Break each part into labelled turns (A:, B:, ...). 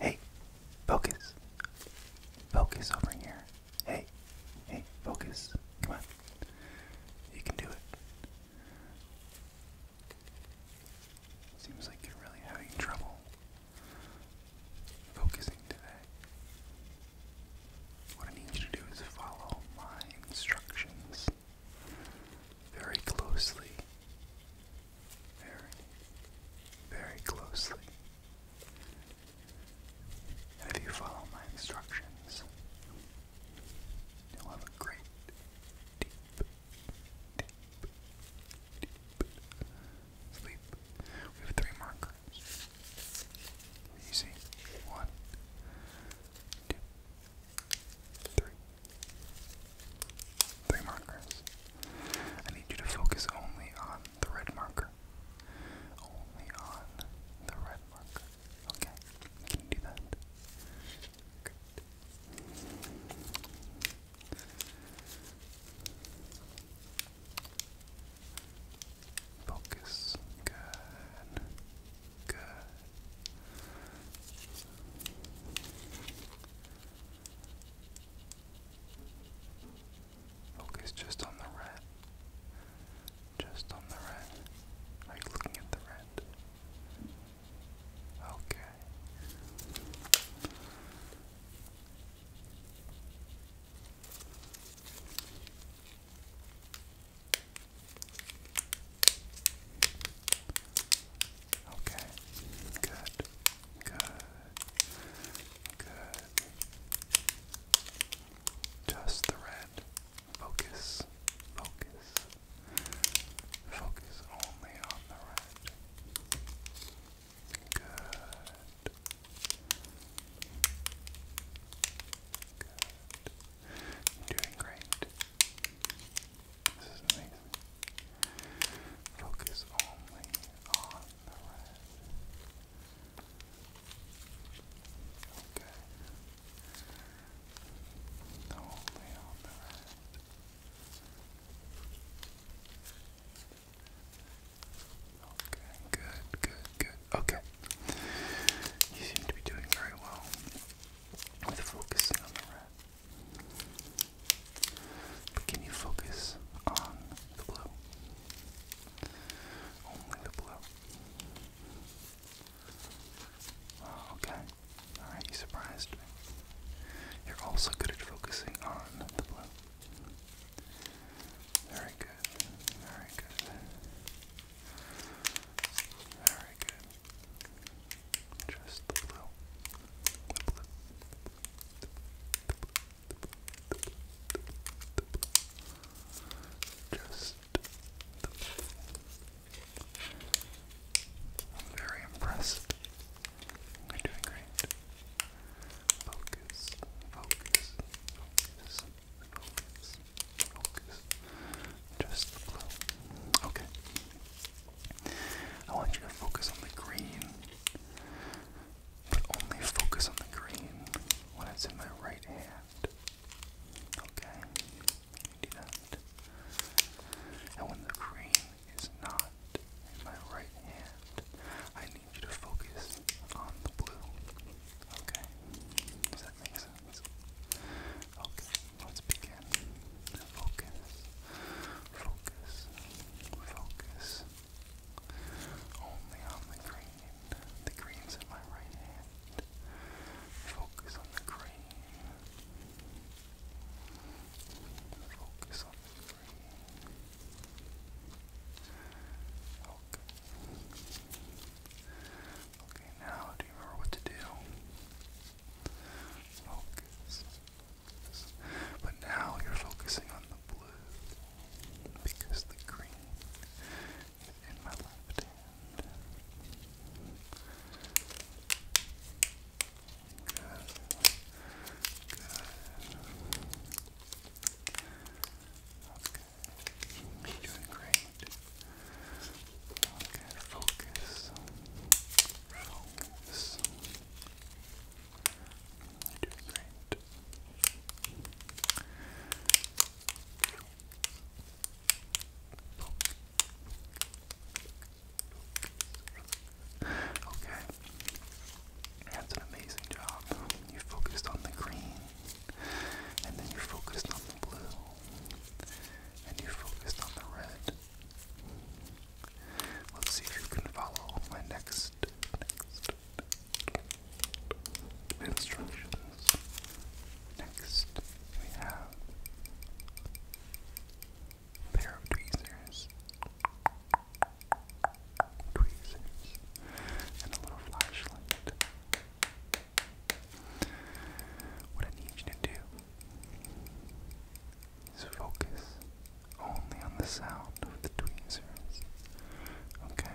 A: Hey, focus. Focus over here. Hey, hey, focus. Come on. You can do it. Seems like you're really having trouble focusing today. What I need you to do is follow my instructions very closely very, very closely. if you follow my instructions, you'll have a great, deep, deep, deep sleep. We have three markers. You see, one, two, three three markers. I need you to focus only on the red marker. Only on the red marker. Okay, can you do that? Good. Focus. Good. Good. Focus just on the red. Just on the red. Are you looking at the red? Okay. Okay, good. Good. Good. Just the red. Focus. Focus. Focus only on the red. Good. Good. doing great. Focus only on the red. Okay. Only on the red. Okay, good, good, good. Okay. You seem to be doing very well with focusing on the red. Can you focus on the blue? Only the blue. Oh, okay. Alright, you surprised You're also good at focusing on the blue. Very good. Very good. Very good. Just the blue. The blue. I'm very impressed. You're doing great. focus, focus, focus, focus. Just the blue. Okay. I want you to focus on the green, but only focus on the green when it's in my right hand. Okay? do that. And when the green is not in my right hand, I need you to focus on the blue. Okay? Does that make sense? Okay, let's begin focus, focus, focus. Only on the green. The green's in my right hand. Focus on the green. Focus on the green. Okay. Okay, now do you remember what to do? Focus. But now you're focusing on the blue because the green is in my left hand. You're doing great. Okay, focus. Focus. do great. Okay. That's an amazing job. You focused on the green, and then you focused on the blue, and you focused on the red, Let's see if you can follow my next, next instructions. Next, we have a pair of tweezers, tweezers, and a little flashlight. What I need you to do focus only on the sound of the tweezers. Okay?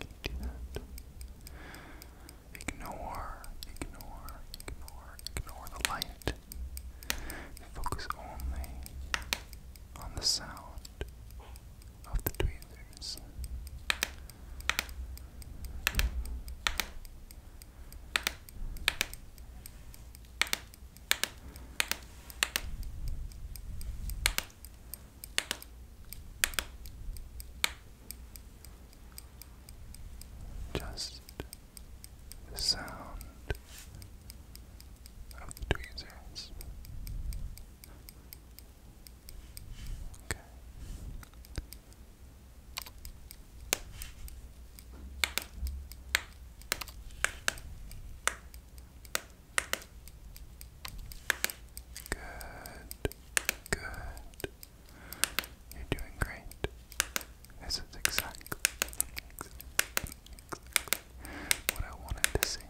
A: You do that. Ignore, ignore, ignore, ignore the light. Focus only on the sound of the tweezers. Just the sound of tweezers. Okay. Good. Good. You're doing great. This is exactly, exactly, what I wanted to see.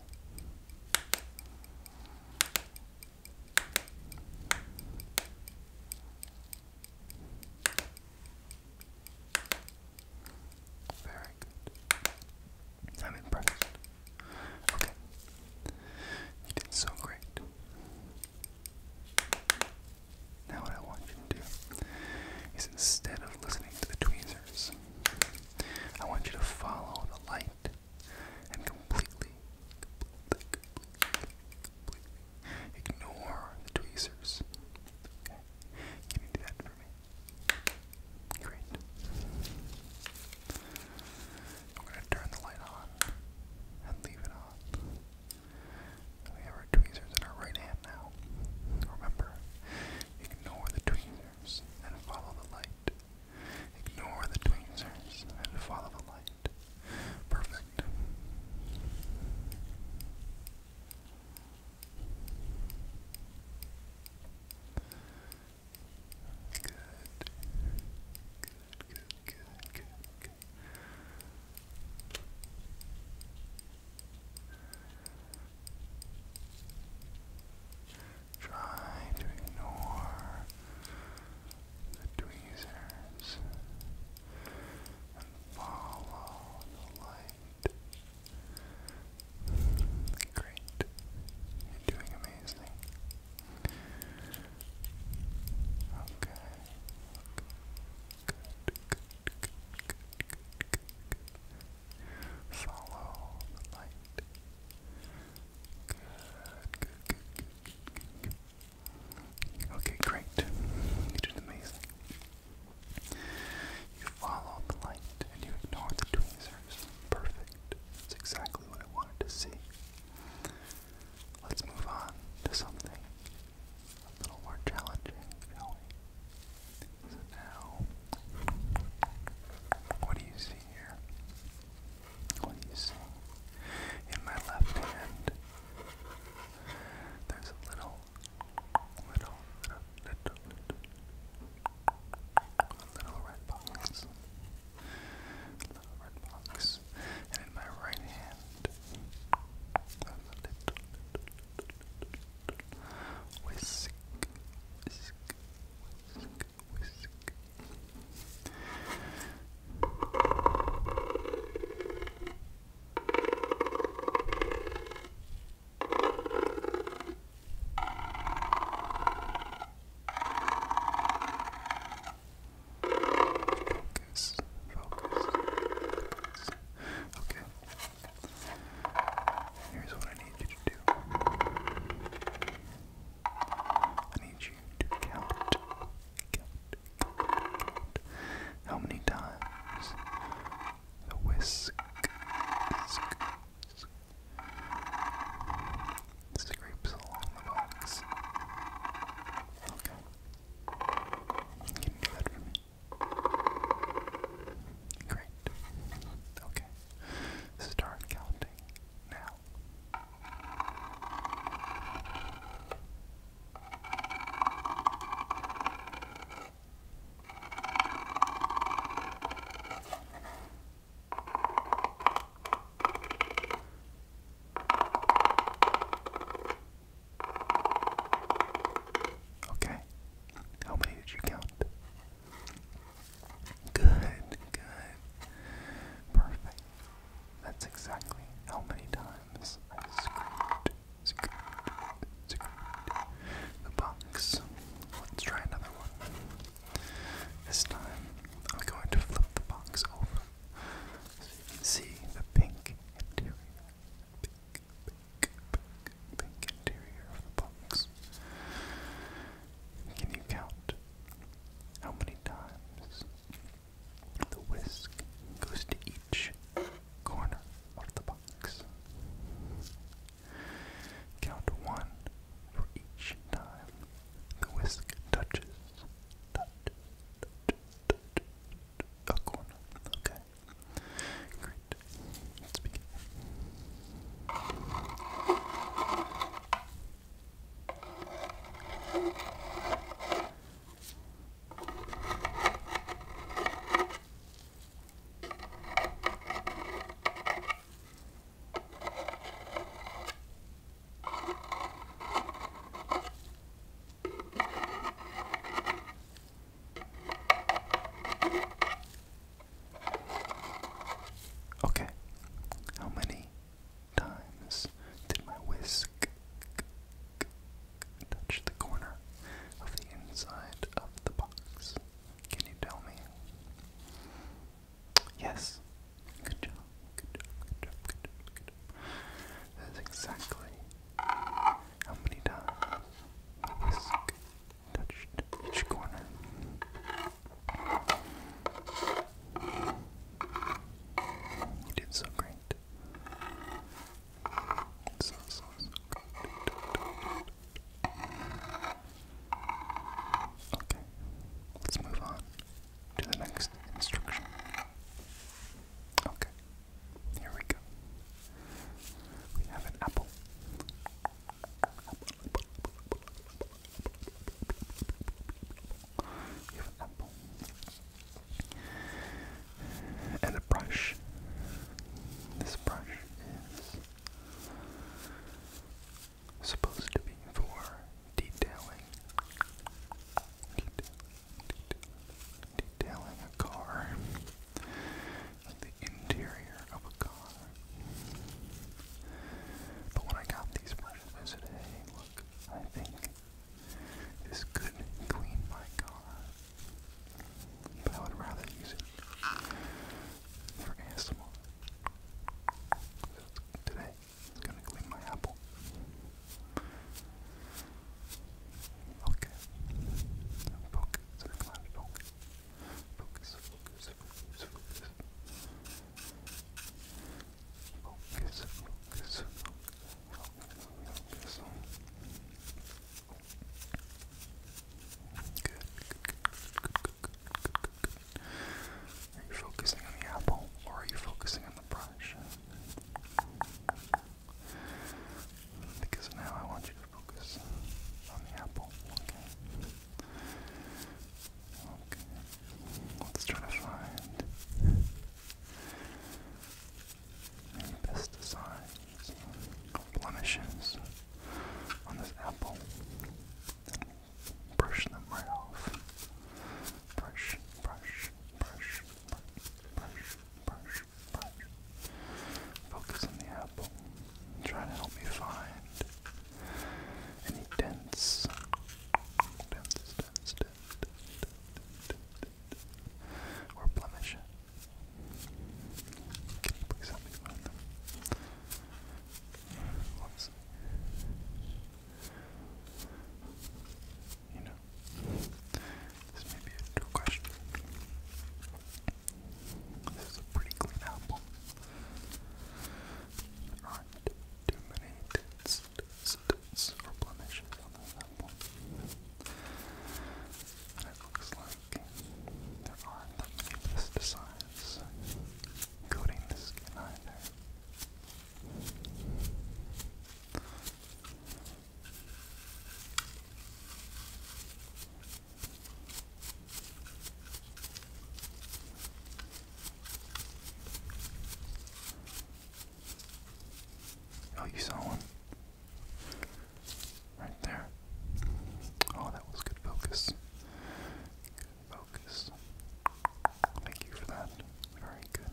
A: Very good. I'm impressed. Okay. You did so great. Now, what I want you to do is instead of listening to the tweezers, I want you to follow the light and completely, Ignore the tweezers. Okay. Can you do that for me? Great. I'm gonna turn the light on and leave it on. We have our tweezers in our right hand now. Remember, ignore the tweezers and follow the light. Ignore the tweezers and follow the light. Perfect. Good. Good, good, good, good, Try to ignore the tweezers and follow the light. Great. You're doing amazing. Okay. Good, good, good, good, good, good. Follow the light. Good, good, good, good, good, good, Okay, great. You did amazing. You follow the light and you ignore the tweezers. Perfect. That's exactly what I wanted to see. Let's move on to something a little more challenging, shall So now, what do you see here? What you see? In my left hand, there's a little, little, little, little, little, red box. Little red box. And in my right hand, there's a little, little, little whisk, whisk, whisk, whisk, Focus, focus, focus. Okay. Here's what I need you to do. I need you to count, count, how many times the whisk, scrapes along the box. Okay. Can do that for me? Great. Okay. Start counting now. Okay. How many did you count? Good, good. Perfect. That's exactly how many times I screwed, screwed, the box. Let's try another one. This time, I'm going to flip the box over so you can see the pink interior. Pink, pink, pink, pink interior of the box. Can you count how many times the whisk goes to each corner of the box. Count one for each time the whisk touches, a corner. Okay. Great. Let's begin. Okay, how many times did my whisk touch the corner of the inside of the box. Can you tell me? Yes. Good job. Good job. Good job. Good job. That is exactly how many times the whisk touched each corner you did so great. So, so, so Okay, let's move on to the next instruction. Okay, here we go. We have an Apple, and a brush. This brush is supposed to be for detailing, detailing, a car, the interior of a car. But when I got these person and said, look, I think this could clean my car, but I would rather use it for ASMR. today, it's gonna clean my apple. focus, focus, focus, focus, focus. Are you focusing on the apple or are you focusing on the brush? Because now I want you to focus on the apple, okay? Okay, Let's try to find maybe pesticides or blemishes on this apple. brush them right off. Brush, brush, brush, brush, brush, brush. Focus on the apple. Try to help me find any dents? Dents, dents, dents, Or blemish? Let's see. You know, this may be a true question. This is a pretty clean apple not too many tits, or blemishes on this apple. it looks like there aren't that coating the skin either. Oh, you saw one? Right there. Oh, that was good focus. Good focus. Thank you for that. Very good.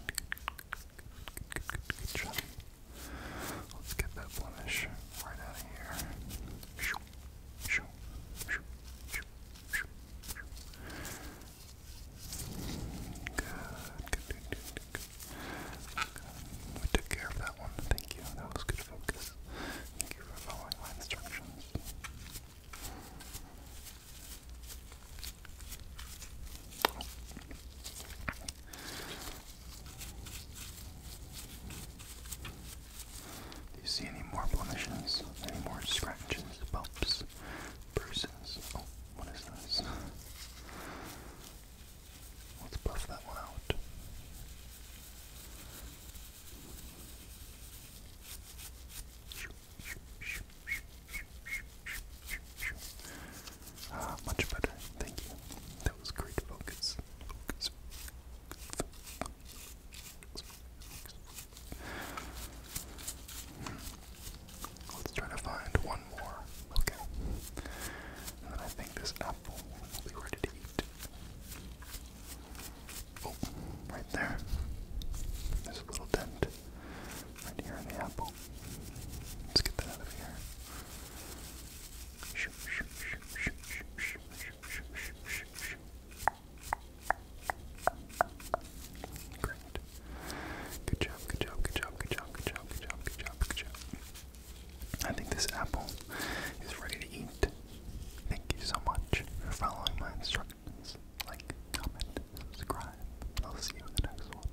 A: Let's get that blemish right out of here. Shoo, shoo, shoo, shoo, good, We took care of that one. Thank you. That was good focus. Thank you for following my instructions. Do you see any more blemishes? Any more scratches, bumps, bruises? Oh, what is this? Let's buff that one out. Ah, much better. Thank you. That was great focus. Focus. Let's try to find one more. Okay. And then I think this apple will be ready to eat. Oh, right there. There's a little dent right here in the apple. Let's get that out of here. Shoo, shoo, shoo, shoo, shoo, shoo, shoo, shoo, shoo, shoo. Great. Good job, good job, good job, good job, good job, good job, good job, good job. I think this apple is ready to eat. Thank you so much for following my instructions. Like, comment, subscribe. I'll see you in the next one.